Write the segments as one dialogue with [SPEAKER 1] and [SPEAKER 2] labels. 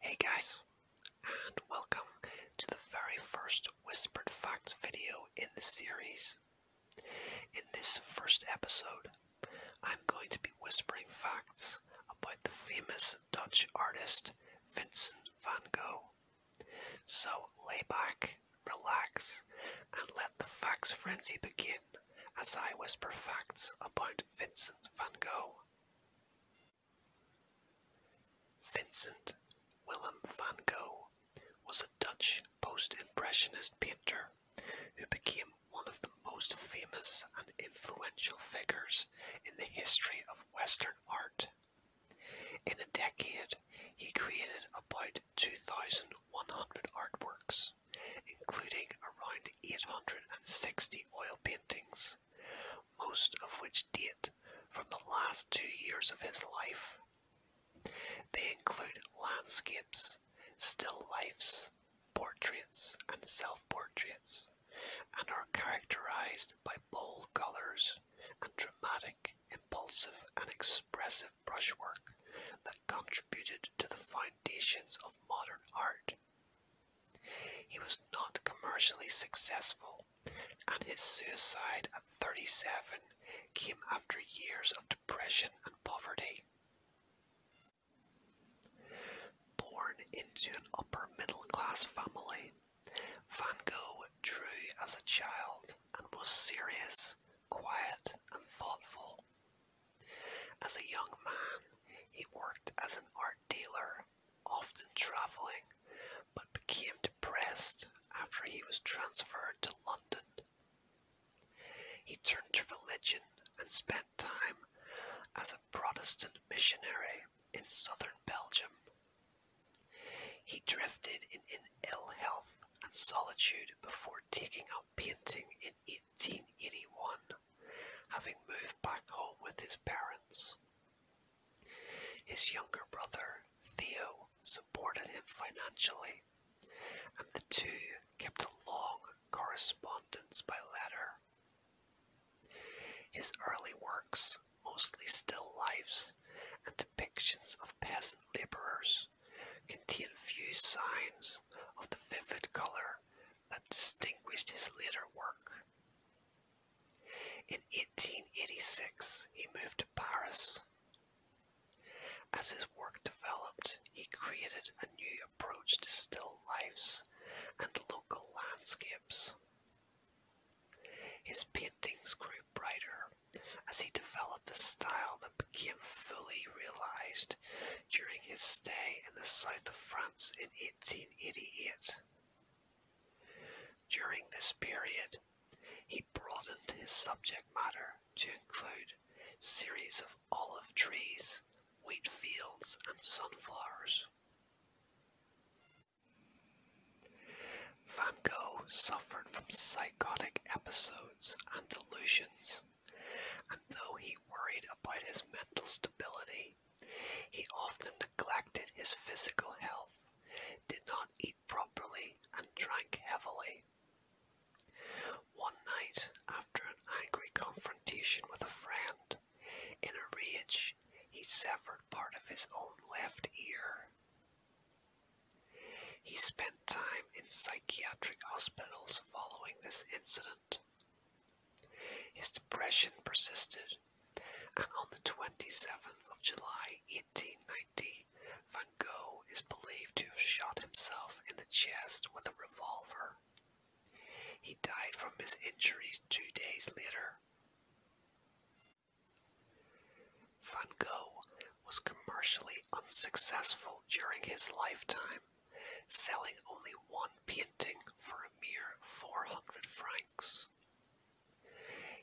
[SPEAKER 1] Hey guys, and welcome to the very first Whispered Facts video in the series. In this first episode, I'm going to be whispering facts about the famous Dutch artist Vincent van Gogh. So lay back, relax, and let the facts frenzy begin as I whisper facts about Vincent van Gogh. Vincent Willem van Gogh was a Dutch post-impressionist painter who became one of the most famous and influential figures in the history of Western art. In a decade, he created about 2,100 artworks, including around 860 oil paintings, most of which date from the last two years of his life. They include landscapes, still lifes, portraits, and self portraits, and are characterized by bold colors, and dramatic, impulsive, and expressive brushwork that contributed to the foundations of modern art. He was not commercially successful, and his suicide at 37 came after years of depression and poverty. Born into an upper middle class family, Van Gogh drew as a child and was serious, quiet, and thoughtful. As a young man, he worked as an art dealer, often travelling, but became depressed after he was transferred to London. He turned to religion and spent time as a Protestant missionary in southern Belgium he drifted in, ill health and solitude before taking up painting in 1881, having moved back home with his parents. His younger brother, Theo, supported him financially, and the two kept a long correspondence by letter. His early works mostly still lifes and depictions of peasant labourers, contain few signs of the vivid colour that distinguished his later work. In 1886 he moved to Paris. As his work developed, he created a new approach to still lifes and local landscapes. His paintings grew brighter as he developed a style that became fully realized during his stay in the south of France in 1888. During this period, he broadened his subject matter to include series of olive trees, wheat fields, and sunflowers. Van Gogh suffered from psychotic episodes and delusions, and though he worried about his mental stability, he often neglected his physical health, did not eat properly, and drank heavily. One night, after an angry confrontation with a friend, in a rage, he severed part of his own left ear. He spent time in psychiatric hospitals following this incident. His depression persisted, and on the 27th of July 1890, Van Gogh is believed to have shot himself in the chest with a revolver. He died from his injuries two days later. Van Gogh was commercially unsuccessful during his lifetime, selling only one painting for a mere 400 francs.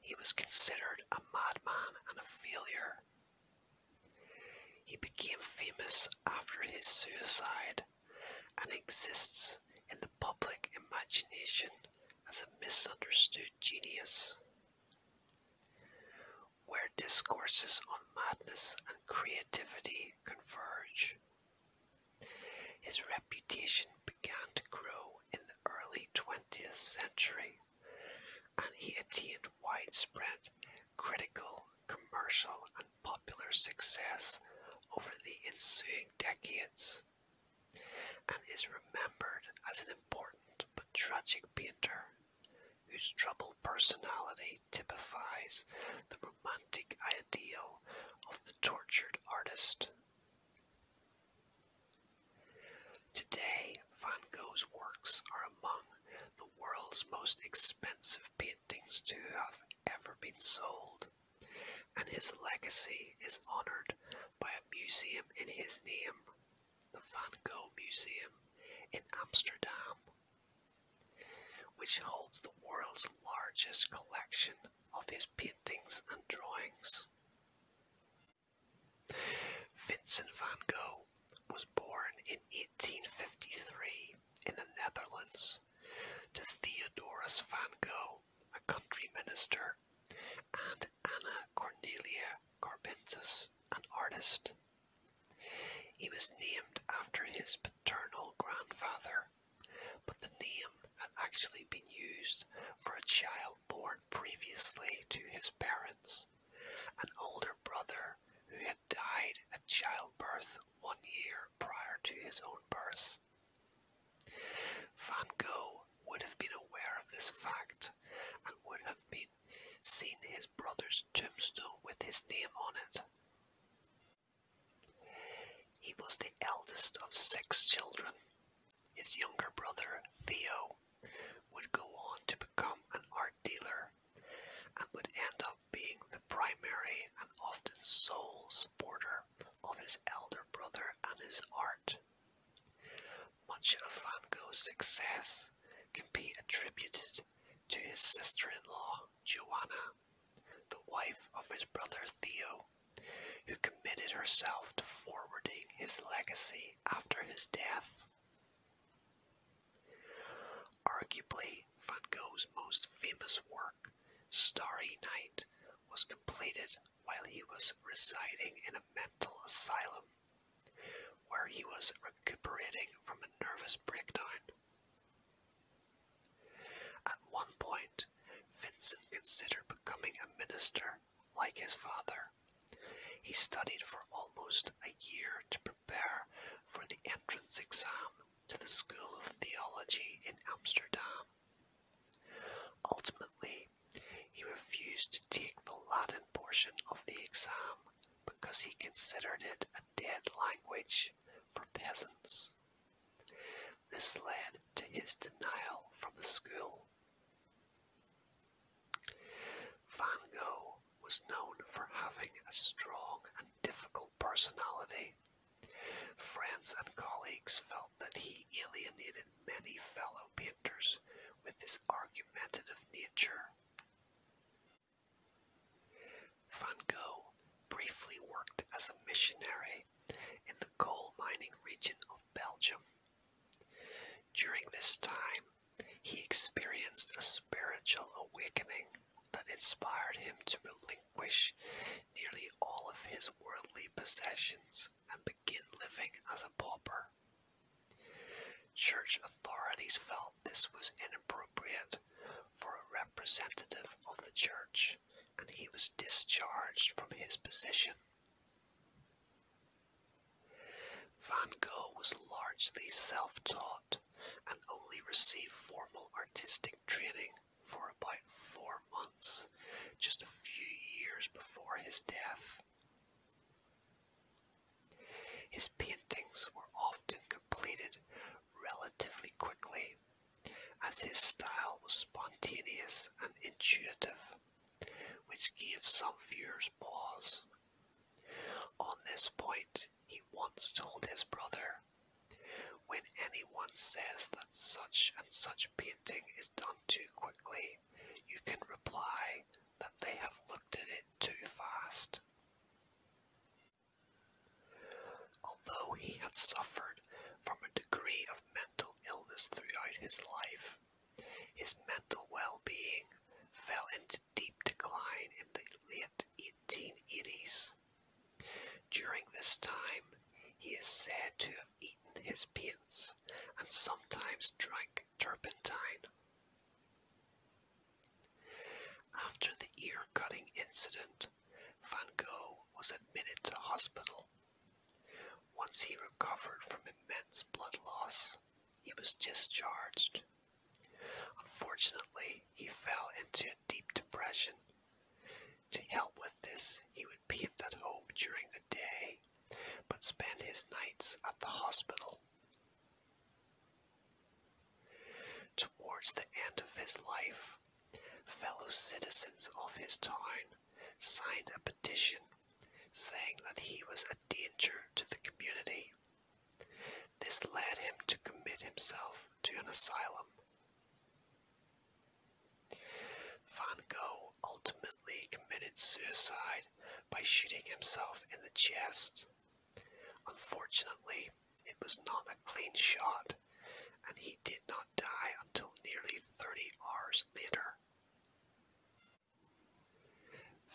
[SPEAKER 1] He was considered a madman and a failure. He became famous after his suicide and exists in the public imagination as a misunderstood genius where discourses on madness and creativity converge. His reputation began to grow in the early 20th century, and he attained widespread critical, commercial, and popular success over the ensuing decades and is remembered as an important but tragic painter whose troubled personality typifies the romantic ideal of the tortured artist. Today, Van Gogh's works are among the world's most expensive paintings to have ever been sold, and his legacy is honoured by a museum in his name the Van Gogh Museum in Amsterdam, which holds the world's largest collection of his paintings and drawings. Vincent van Gogh was born in 1853 in the Netherlands to Theodorus van Gogh, a country minister, and Anna Cornelia Carpentus, an artist. He was named after his paternal grandfather, but the name had actually been used for a child born previously to his parents, an older brother who had died at childbirth one year prior to his own birth. Van Gogh would have been aware of this fact and would have been seen his brother's tombstone with his name on it. He was the eldest of six children. His younger brother, Theo, would go on to become an art dealer and would end up being the primary and often sole supporter of his elder brother and his art. Much of Van Gogh's success can be attributed to his sister-in-law, Joanna, the wife of his brother Theo, who committed herself to forwarding his legacy after his death. Arguably, Van Gogh's most famous work, Starry Night, was completed while he was residing in a mental asylum, where he was recuperating from a nervous breakdown. At one point, Vincent considered becoming a minister like his father. He studied for almost a year to prepare for the entrance exam to the School of Theology in Amsterdam Ultimately, he refused to take the Latin portion of the exam because he considered it a dead language for peasants. This led to his denial from the school. Van Gogh was known for having a strong and difficult personality. Friends and colleagues felt that he alienated many fellow with his argumentative nature. Van Gogh briefly worked as a missionary in the coal mining region of Belgium. During this time, he experienced a spiritual awakening that inspired him to relinquish nearly all of his worldly possessions and begin living as a pauper. Church authorities felt this was inappropriate for a representative of the church, and he was discharged from his position. Van Gogh was largely self-taught and only received formal artistic training for about four months, just a few years before his death. His paintings were often completed relatively quickly, as his style was spontaneous and intuitive, which gave some viewers pause. On this point, he once told his brother, When anyone says that such and such painting is done too quickly, you can reply that they have looked at it too fast. Although he had suffered from a degree of mental illness throughout his life, his mental well-being fell into deep decline in the late 1880s. During this time, he is said to eaten his paints and sometimes drank turpentine. After the ear cutting incident, Van Gogh was admitted to hospital. Once he recovered from immense blood loss, he was discharged. Unfortunately, he fell into a deep depression. To help with this, he would would at home during the day, but spend his nights at the hospital. Towards the end of his life, fellow citizens of his town signed a petition saying that he was a danger to the community. This led him to commit himself to an asylum. Van Gogh ultimately committed suicide by shooting himself in the chest. Unfortunately, it was not a clean shot, and he did not die until nearly 30 hours later.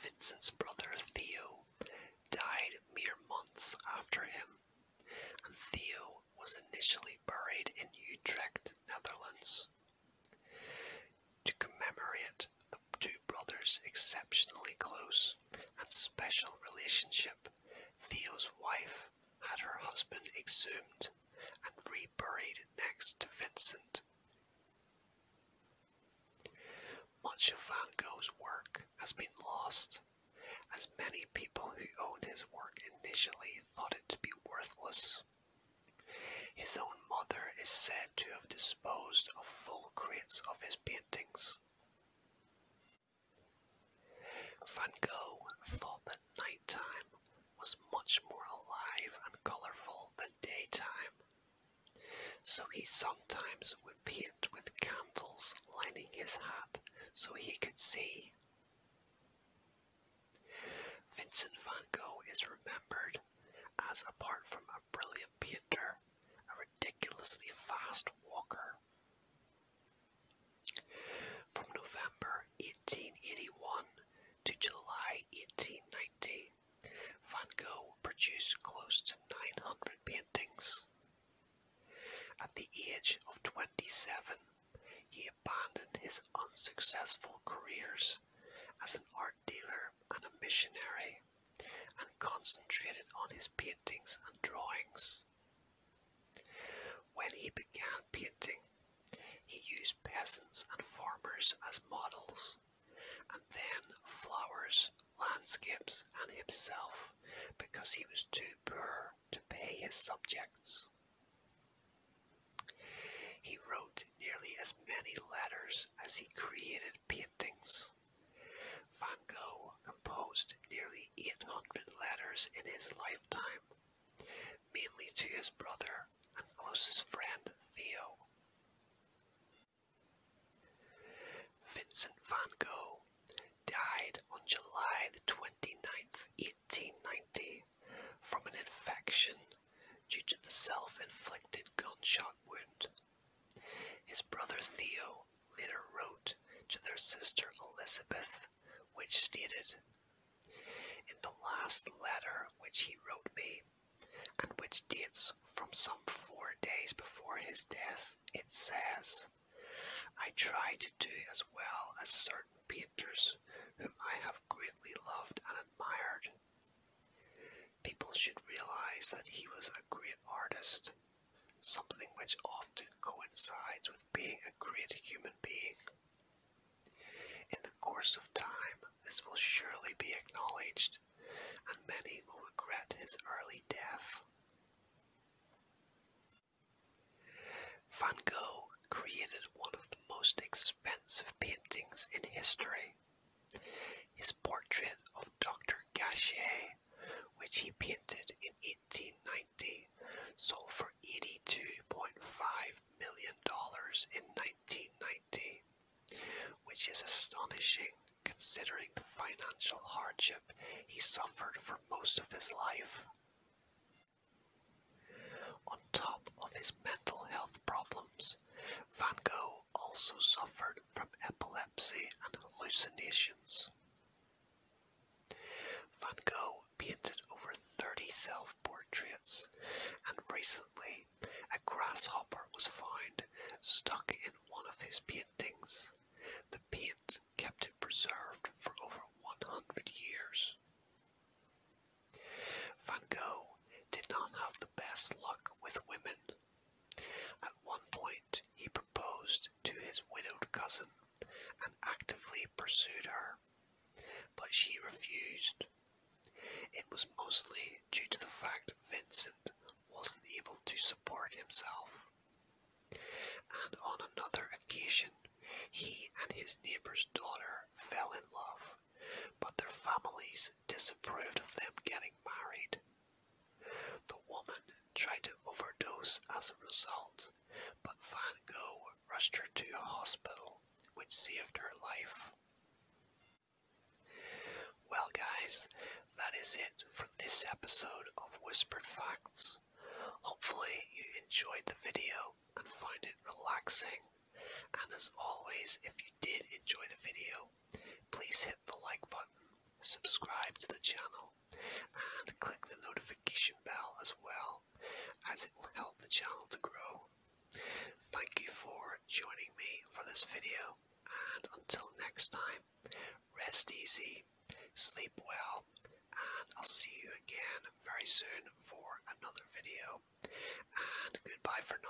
[SPEAKER 1] Vincent's brother Theo died mere months after him, and Theo was initially buried in Utrecht, Netherlands. To commemorate the two brothers' exceptionally close and special relationship, Theo's wife had her husband exhumed and reburied next to Vincent. Much of Van Gogh's work has been lost, as many people who owned his work initially thought it to be worthless. His own mother is said to have disposed of full crates of his paintings. Van Gogh thought that nighttime was much more alive and colourful than daytime, so he sometimes would paint with candles lining his hat so he could see. Vincent van Gogh is remembered as, apart from a brilliant painter, a ridiculously fast walker. From November 1881 to July 1890, Van Gogh produced close to 900 paintings. At the age of 27, he abandoned his unsuccessful careers as an art dealer and a missionary and concentrated on his paintings and drawings. When he began painting, he used peasants and farmers as models, and then flowers, landscapes, and himself because he was too poor to pay his subjects. He wrote nearly as many letters as he created paintings. Van Gogh composed nearly 800 letters in his lifetime, mainly to his brother and closest friend Theo. Vincent van Gogh died on July 29th, 1890 from an infection due to the self-inflicted gunshot wound. His brother Theo later wrote to their sister Elizabeth, which stated, In the last letter which he wrote me, and which dates from some four days before his death, it says, I try to do as well as certain painters whom I have great we loved and admired. People should realize that he was a great artist, something which often coincides with being a great human being. In the course of time, this will surely be acknowledged, and many will regret his early death. Van Gogh created one of the most expensive paintings in history. His portrait of Dr. Gachet, which he painted in 1890, sold for $82.5 million in 1990, which is astonishing considering the financial hardship he suffered for most of his life. On top of his mental health problems, Van Gogh also suffered from epilepsy and hallucinations. Van Gogh painted over 30 self-portraits, and recently a grasshopper was found stuck in one of his paintings. The paint kept it preserved for over 100 years. Van Gogh did not have the best luck with women. At one point, he proposed to his widowed cousin and actively pursued her, but she refused. It was mostly due to the fact Vincent wasn't able to support himself. And on another occasion, he and his neighbor's daughter fell in love, but their families disapproved of them getting married. The woman tried to overdose as a result, but Van Gogh rushed her to a hospital, which saved her life. Well, guys, that is it for this episode of Whispered Facts. Hopefully, you enjoyed the video and find it relaxing. And as always, if you did enjoy the video, please hit the like button, subscribe to the channel, and click the notification bell as well, as it will help the channel to grow. Thank you for joining me for this video, and until next time, rest easy, sleep well, and I'll see you again very soon for another video. And goodbye for now.